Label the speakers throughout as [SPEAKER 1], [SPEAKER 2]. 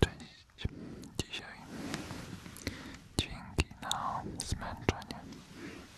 [SPEAKER 1] Cześć. Dzisiaj dźwięki na zmęczenie.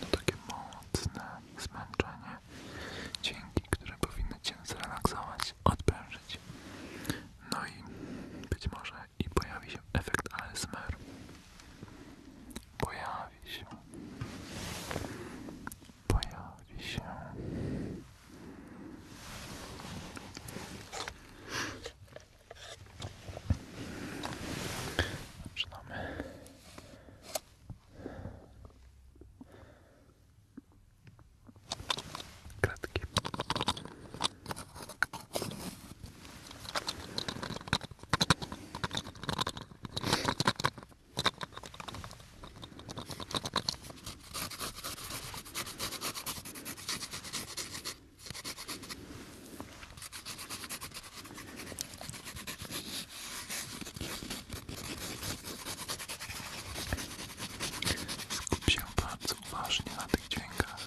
[SPEAKER 1] No takie mocne zmęczenie. Dźwięki, które powinny Cię zrelaksować, odprężyć. No i być może i pojawi się efekt ASMR. Pojawi się. Pojawi się. Zaczynamy. Kratki. Skup się bardzo uważnie na tych dźwiękach.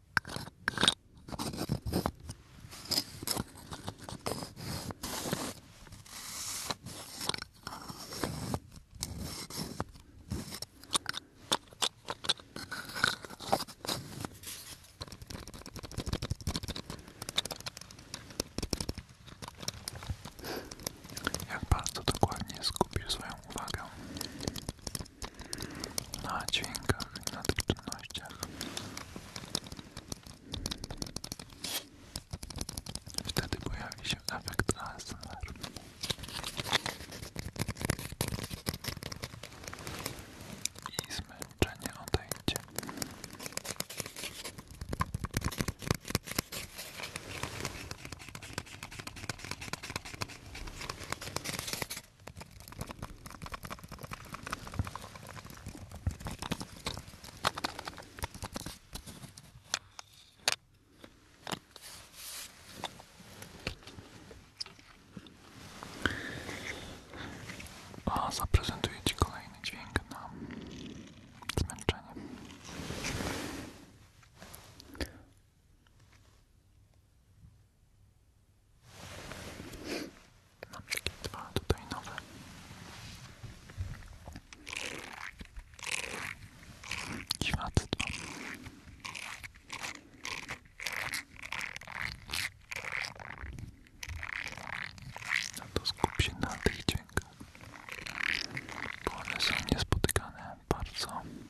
[SPEAKER 1] Jak bardzo dokładnie skupisz swoją uwagę na dźwiękach i na trudnościach. Wtedy pojawi się efekt ASMR. I zmęczenie odejdzie. A zaprezentuję Ci kolejny dźwięk na zmęczenie. Mam takie dwa tutaj nowe. Dziwactwo. No to skup się na tych dźwiękach, bo są niespotykane bardzo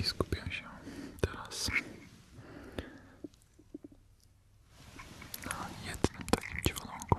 [SPEAKER 1] I skupiam się teraz na jednym takim dziwolągu.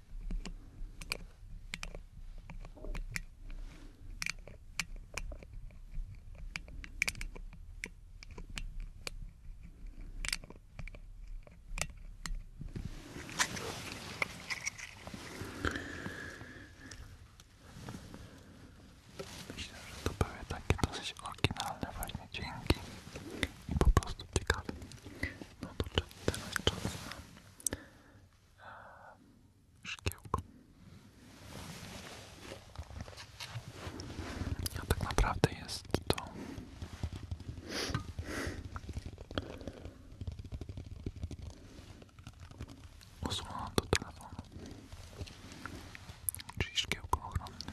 [SPEAKER 1] Myślę, że to były takie dosyć oryginalne właśnie dźwięki i po prostu ciekawe no to teraz czas na ehm, szkiełko. A tak naprawdę jest to osłona do telefonu, czyli szkiełko ochronne.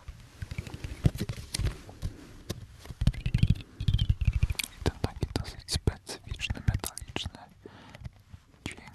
[SPEAKER 1] I ten taki dosyć specyficzny, metaliczny dźwięk.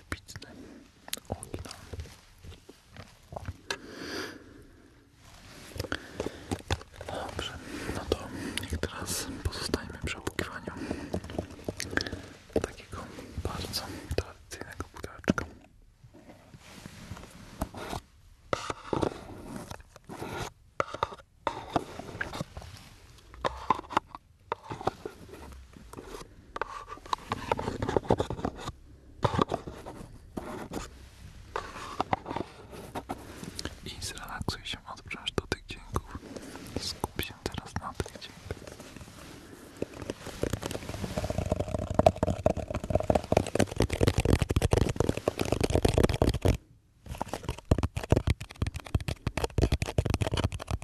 [SPEAKER 1] wybitny, oryginalny. Dobrze, no to jak teraz pozostajemy przy opukiwaniu takiego bardzo tradycyjnego pudełeczka. I zrelaksuj się, odpręż do tych dźwięków. Skup się teraz na tych dźwiękach.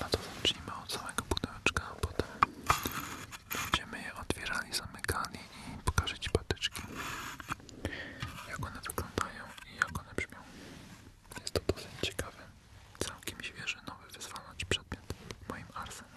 [SPEAKER 1] No to zacznijmy od samego pudełeczka, a potem będziemy je otwierali, zamykali i pokażę Ci patyczki, jak one wyglądają i jak one brzmią. Jest to dosyć ciekawy, całkiem świeży, nowy wyzwalacz przedmiot moim arsenale.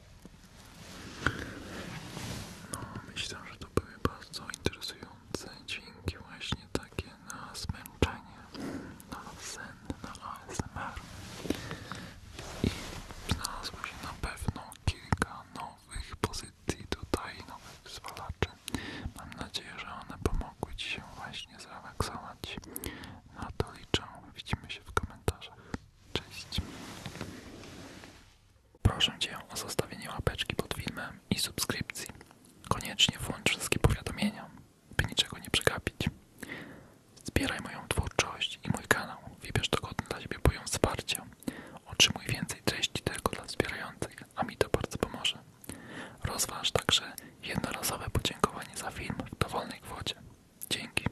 [SPEAKER 1] No, myślę, że to były bardzo interesujące dźwięki właśnie takie na zmęczenie, na sen, na ASMR. I znalazło się na pewno kilka nowych pozycji tutaj, nowych wyzwalaczy. Mam nadzieję, że one pomogły Ci się właśnie zrelaksować. Na to liczę. Widzimy się w komentarzach. Cześć. Proszę Cię o zostawienie łapeczki pod filmem i subskrypcji. Koniecznie włącz wszystkie powiadomienia, by niczego nie przegapić. Zbieraj moją twórczość i mój kanał. Wybierz dogodny dla Ciebie poziom wsparcia. Otrzymuj więcej treści tylko dla wspierających, a mi to bardzo pomoże. Rozważ także jednorazowe podziękowanie za film w dowolnej kwocie. Dzięki.